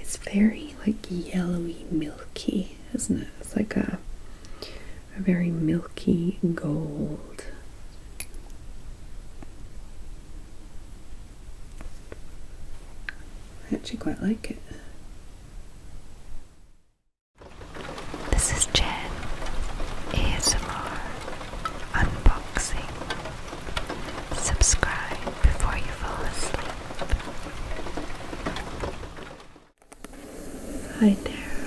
It's very like yellowy, milky, isn't it? It's like a very milky gold. I actually quite like it. This is Jen ASMR Unboxing. Subscribe before you fall asleep. Hi there,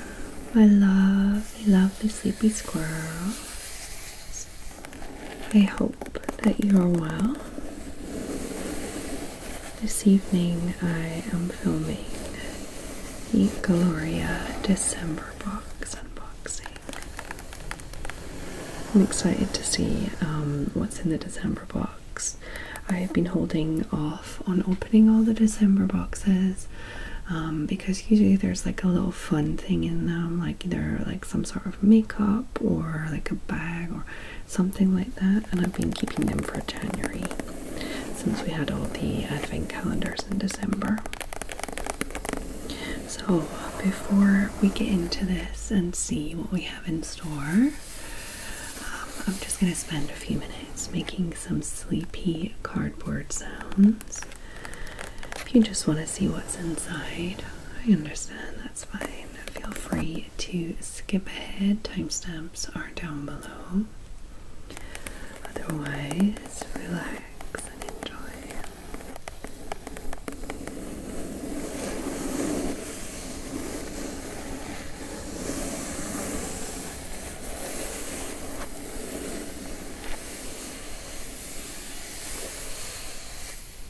my lovely, lovely sleepy squirrel. I hope that you are well. This evening I am filming the Gloria December box unboxing. I'm excited to see um, what's in the December box. I've been holding off on opening all the December boxes um, because usually there's like a little fun thing in them, like either like some sort of makeup or like a bag or something like that. And I've been keeping them for January since we had all the advent calendars in December. So, before we get into this and see what we have in store, um, I'm just going to spend a few minutes making some sleepy cardboard sounds. If you just want to see what's inside, I understand that's fine. Feel free to skip ahead. Timestamps are down below. Otherwise, relax and enjoy.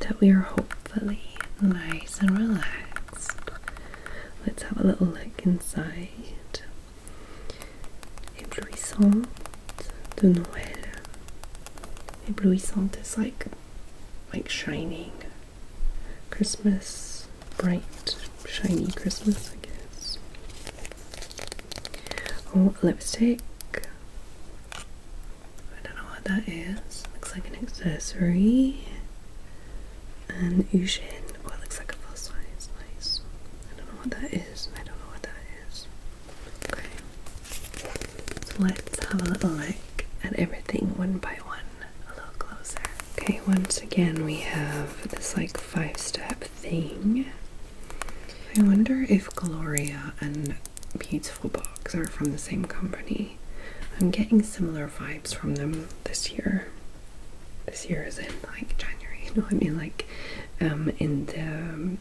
that we are hopefully nice and relaxed. Let's have a little look inside. Éblouissant de Noël. Éblouissante is like like shining Christmas, bright, shiny Christmas, I guess. Oh, lipstick. I don't know what that is. Looks like an accessory. And Ushin. Oh, it looks like a plus size. Nice. I don't know what that is. I don't know what that is. Okay. So let's have a little look at everything one by one a little closer. Okay, once again we have this like five step thing. I wonder if Gloria and Peter Peaceful Box are from the same company. I'm getting similar vibes from them this year. This year is in like January, you know what I mean? Like um, in the,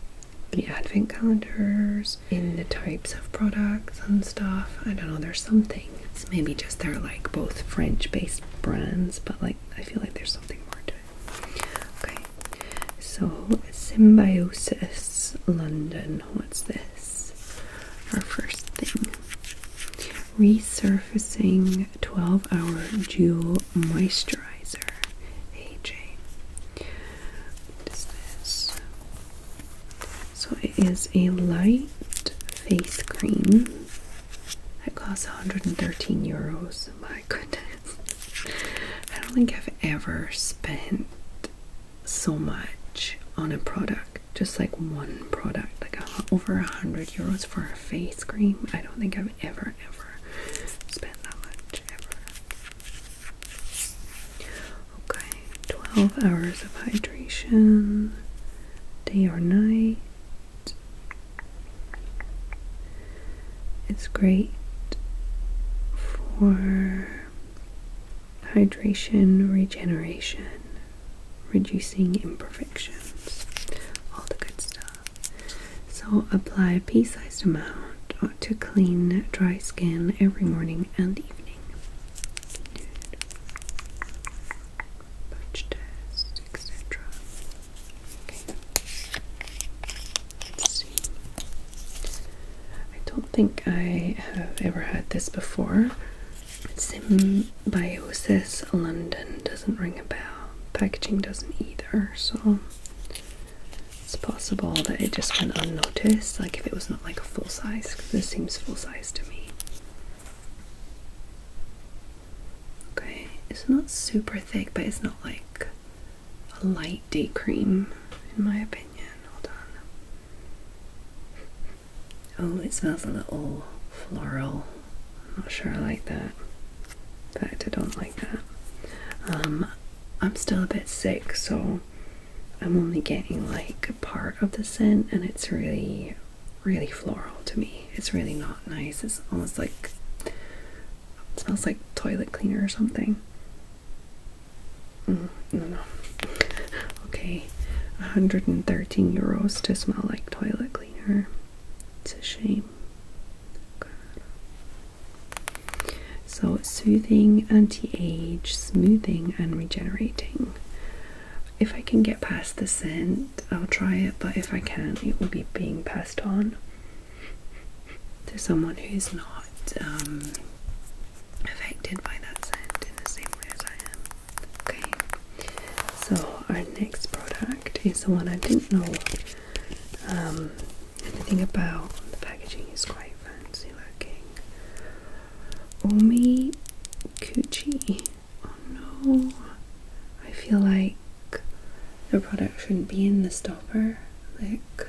the advent calendars, in the types of products and stuff. I don't know, there's something. It's maybe just they're like both French based brands, but like I feel like there's something more to it. Okay, so Symbiosis London. What's this? Our first thing Resurfacing 12 Hour Jewel Moisturizer. AJ. What is this? So it is a light face cream It costs 113 euros. My goodness. I don't think I've ever spent so much on a product, just like one product, like over a hundred euros for a face cream. I don't think I've ever, ever spent that much ever. Okay, 12 hours of hydration, day or night. It's great for hydration, regeneration, reducing imperfections, all the good stuff. So apply a pea sized amount to clean, dry skin every morning and evening. Punch test, etc. I don't think I have ever had this before. Symbiosis London doesn't ring a bell. Packaging doesn't either, so it's possible that it just went unnoticed. Like if it was not like a full size, this seems full size to me. Okay, it's not super thick, but it's not like a light day cream, in my opinion. Hold on. Oh, it smells a little floral. I'm not sure I like that. In fact, I don't like that. Um, I'm still a bit sick, so I'm only getting like a part of the scent, and it's really, really floral to me. It's really not nice. It's almost like it smells like toilet cleaner or something. Mm no, no. Okay, 113 euros to smell like toilet cleaner. It's a shame. God. So, soothing, anti age, smoothing, and regenerating. If I can get past the scent, I'll try it, but if I can't, it will be being passed on to someone who's not um, affected by that scent in the same way as I am. Okay, so our next product is the one I didn't know um, anything about. The packaging is quite fancy looking. Omi Kuchi. Oh no, I feel like the product shouldn't be in the stopper. Like,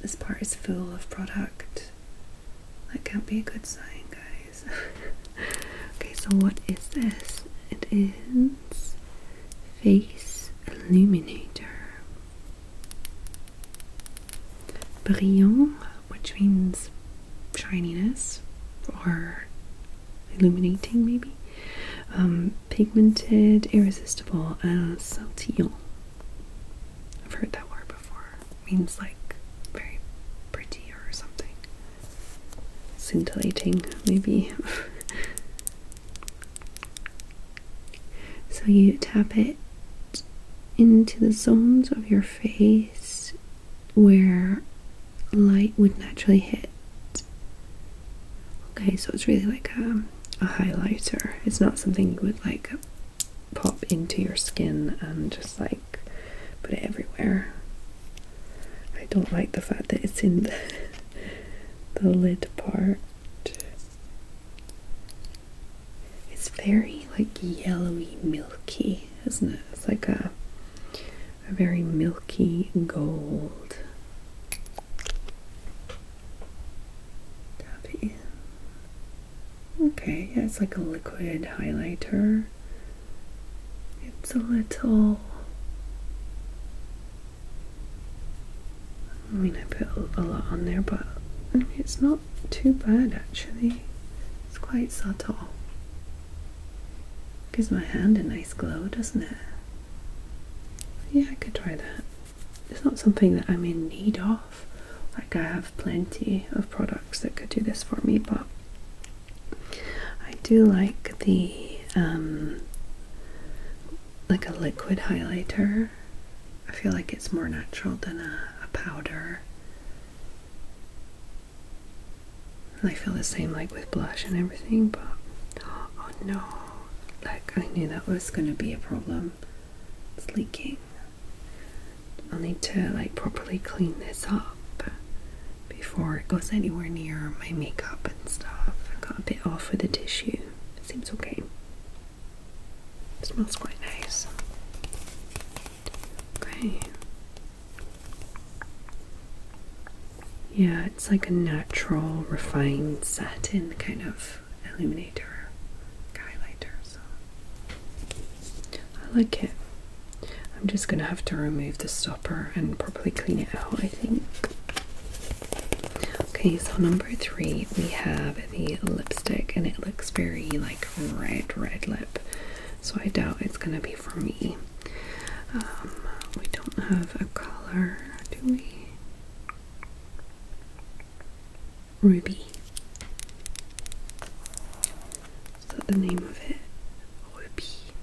this part is full of product that can't be a good sign, guys. okay, so what is this? It is Face Illuminator. Brillant, which means shininess or illuminating, maybe. Um, pigmented, irresistible, uh, saltillant. I've heard that word before. means like very pretty or something. Scintillating, maybe. so you tap it into the zones of your face where light would naturally hit. Okay, so it's really like a, a highlighter. It's not something you would like pop into your skin and just like put it everywhere. I don't like the fact that it's in the, the lid part. It's very like yellowy milky, isn't it? It's like a a very milky gold. Tap Okay, yeah, it's like a liquid highlighter. It's a little. I mean, I put a lot on there, but it's not too bad actually. It's quite subtle. Gives my hand a nice glow, doesn't it? Yeah, I could try that. It's not something that I'm in need of. Like, I have plenty of products that could do this for me, but I do like the um, like a liquid highlighter. I feel like it's more natural than a, powder. I feel the same like with blush and everything, but oh no, like I knew that was gonna be a problem. It's leaking. I'll need to like properly clean this up before it goes anywhere near my makeup and stuff. I got a bit off with the tissue. It seems okay. smells quite nice. Okay. Yeah, it's like a natural, refined satin kind of illuminator, highlighter. I like it. I'm just gonna have to remove the stopper and probably clean it out, I think. Okay, so number three, we have the lipstick, and it looks very like red, red lip. So I doubt it's gonna be for me. Um, we don't have a color, do we? Ruby. Is that the name of it? Ruby.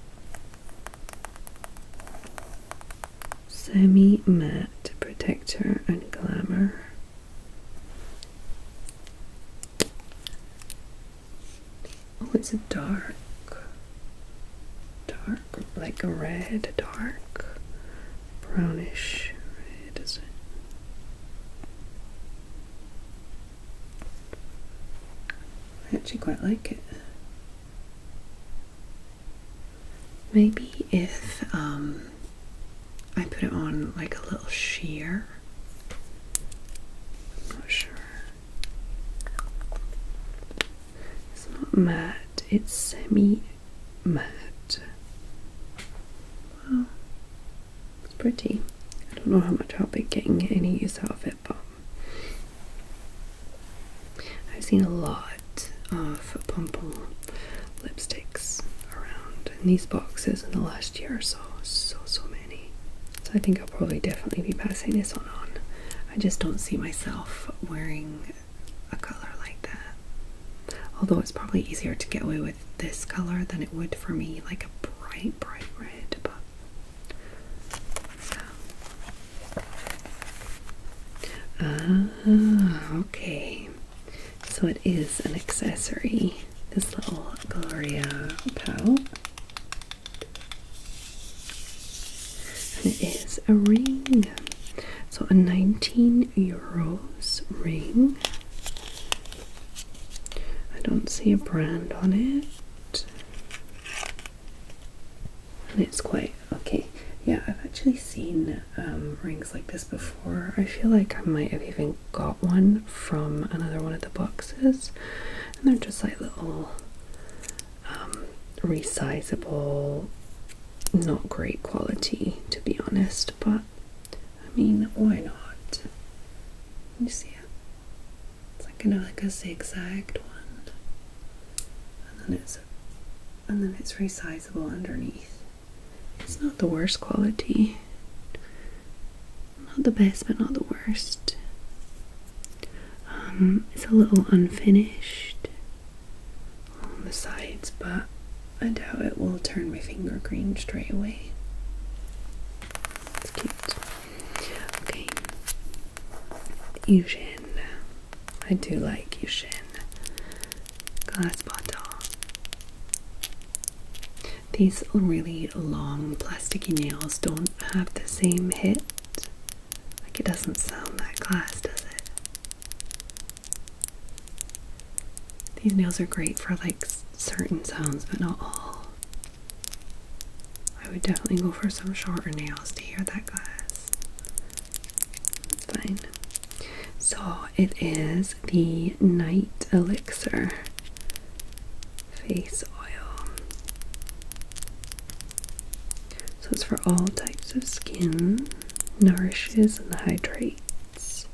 Semi matte protector and glamour. Oh, it's a dark, dark, like a red, dark, brownish red, is it? I actually quite like it. Maybe if um, I put it on like a little sheer. I'm not sure. It's not matte, it's semi matte. It's pretty. I don't know how much I'll be getting any use out of it, but I've seen a lot of pompon lipsticks around in these boxes in the last year or so. So, so many. So I think I'll probably definitely be passing this one on. I just don't see myself wearing a color like that. Although it's probably easier to get away with this color than it would for me like a bright, bright red. But ah, okay. So it is an accessory. This little Gloria pal. and it is a ring. So a 19 euros ring. I don't see a brand on it. And it's quite okay. Yeah, I've actually seen um, rings like this before. I feel like I might have even got one from another one of the boxes. And they're just like little um, resizable, not great quality to be honest, but I mean, why not? Can you see it? It's like kind of like a zigzag one, and then it's and then it's resizable underneath. It's not the worst quality, not the best, but not the worst. Um, it's a little unfinished on the sides, but I doubt it will turn my finger green straight away. It's cute. Okay. Eugene. I do like Yushin. Glass bottle. These really long plasticky nails don't have the same hit. Like it doesn't sound that glass, does it? These nails are great for like certain sounds, but not all. I would definitely go for some shorter nails to hear that glass. Fine. So it is the Night Elixir Face Oil. So it's for all types of skin, nourishes and hydrates.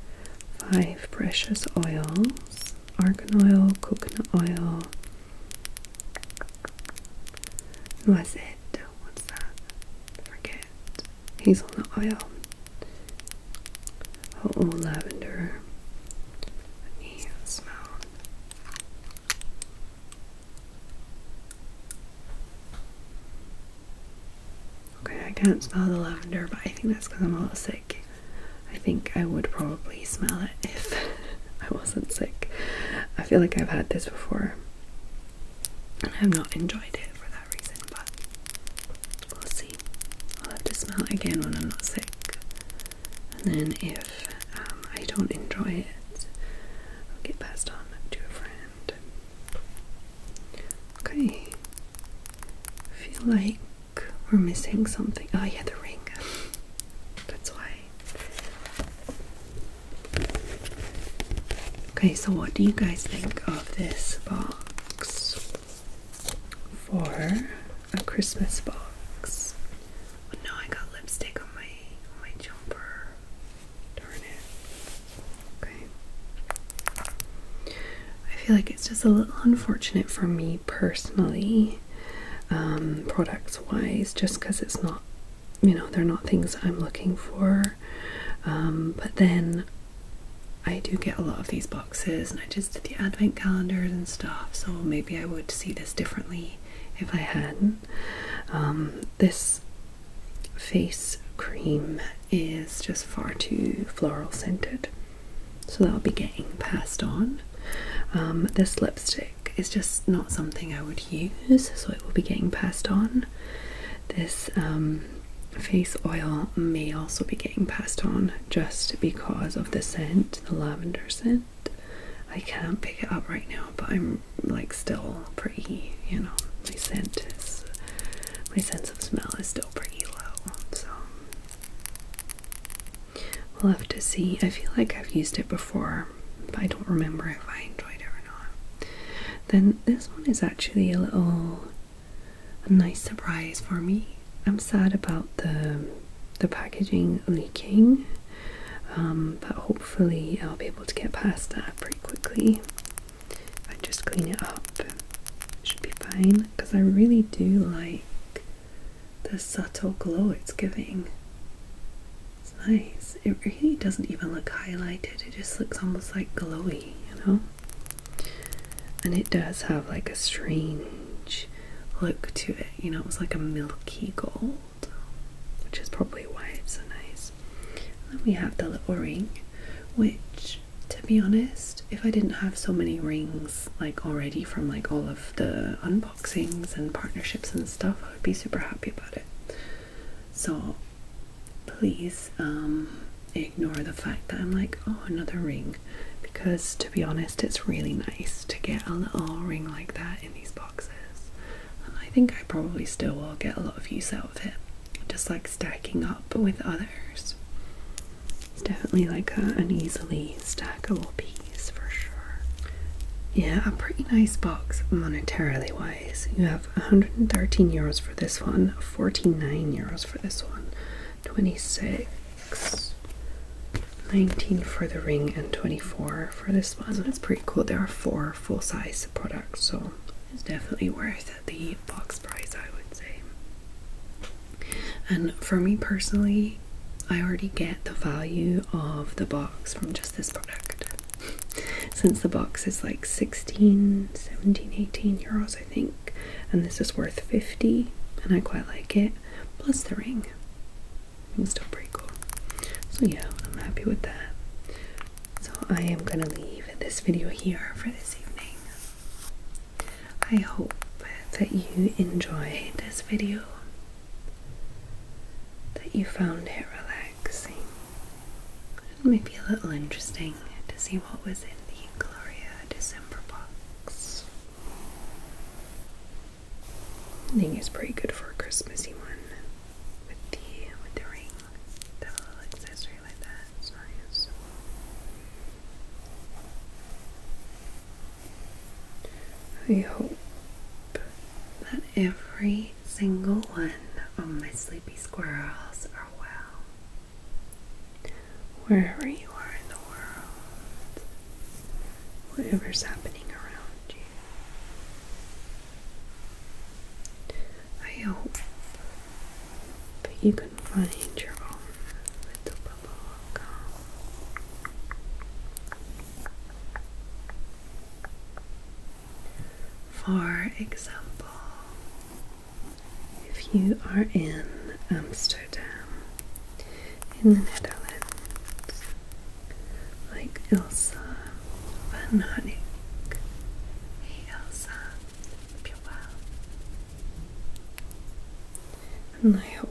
Five precious oils argan oil, coconut oil. Noisette, what's that? forget. Hazelnut oil. Oh, oh lavender. Let me smell. Okay, I can't smell the lavender, but I think that's because I'm a little sick. I think I would probably smell it if I wasn't sick. I feel like I've had this before and I've not enjoyed it for that reason, but we'll see. I'll have to smell it again when I'm not sick. And then if um, I don't enjoy it, I'll get passed on to a friend. Okay. feel like we're missing something. Oh, yeah, the ring. That's why. Okay, so what do you guys think of this box for a Christmas box? Oh, no, I got lipstick on my my jumper. Darn it. Okay. I feel like it's just a little unfortunate for me personally um, products wise, just because it's not, you know, they're not things I'm looking for. Um, but then I do get a lot of these boxes, and I just did the advent calendars and stuff, so maybe I would see this differently if I hadn't. Um, this face cream is just far too floral scented so that'll be getting passed on. Um, this lipstick is just not something I would use, so it will be getting passed on. This um, face oil may also be getting passed on just because of the scent, the lavender scent. I can't pick it up right now, but I'm like still pretty, you know, my scent is, my sense of smell is still pretty low, so We'll have to see. I feel like I've used it before, but I don't remember if I enjoyed it or not. Then this one is actually a little a nice surprise for me. I'm sad about the the packaging leaking, um, but hopefully I'll be able to get past that pretty quickly. If I just clean it up, should be fine. Because I really do like the subtle glow it's giving. It's nice. It really doesn't even look highlighted, it just looks almost like glowy, you know? And it does have like a strange look to it, you know? It was like a milky gold, which is probably why it's so nice. then we have the little ring, which to be honest, if I didn't have so many rings like already from like all of the Boxings and partnerships and stuff, I would be super happy about it. So please um, ignore the fact that I'm like, oh, another ring, because to be honest, it's really nice to get a little ring like that in these boxes. I think I probably still will get a lot of use out of it, just like stacking up with others. It's definitely like an easily stackable peas for sure. Yeah, a pretty nice box monetarily wise. You have 113 euros for this one, 49 euros for this one, 26, 19 for the ring, and 24 for this one. So it's pretty cool. There are four full size products, so it's definitely worth the box price, I would say. And for me personally, I already get the value of the box from just this product since the box is like 16 17 18 euros I think and this is worth 50 and I quite like it plus the ring it was still pretty cool so yeah I'm happy with that so I am gonna leave this video here for this evening I hope that you enjoyed this video that you found it relaxing It may be a little interesting to see what was in the Gloria December box. I think it's pretty good for a Christmassy one with the with the ring. The little accessory like that. It's nice. I hope that every single one of my sleepy squirrels are well. Wherever you are in the world, whatever's happening around you, I hope that you can find your own little for example, if you are in Amsterdam, in the Netherlands, like Ilsa van Honig, hey Ilsa, hope and I hope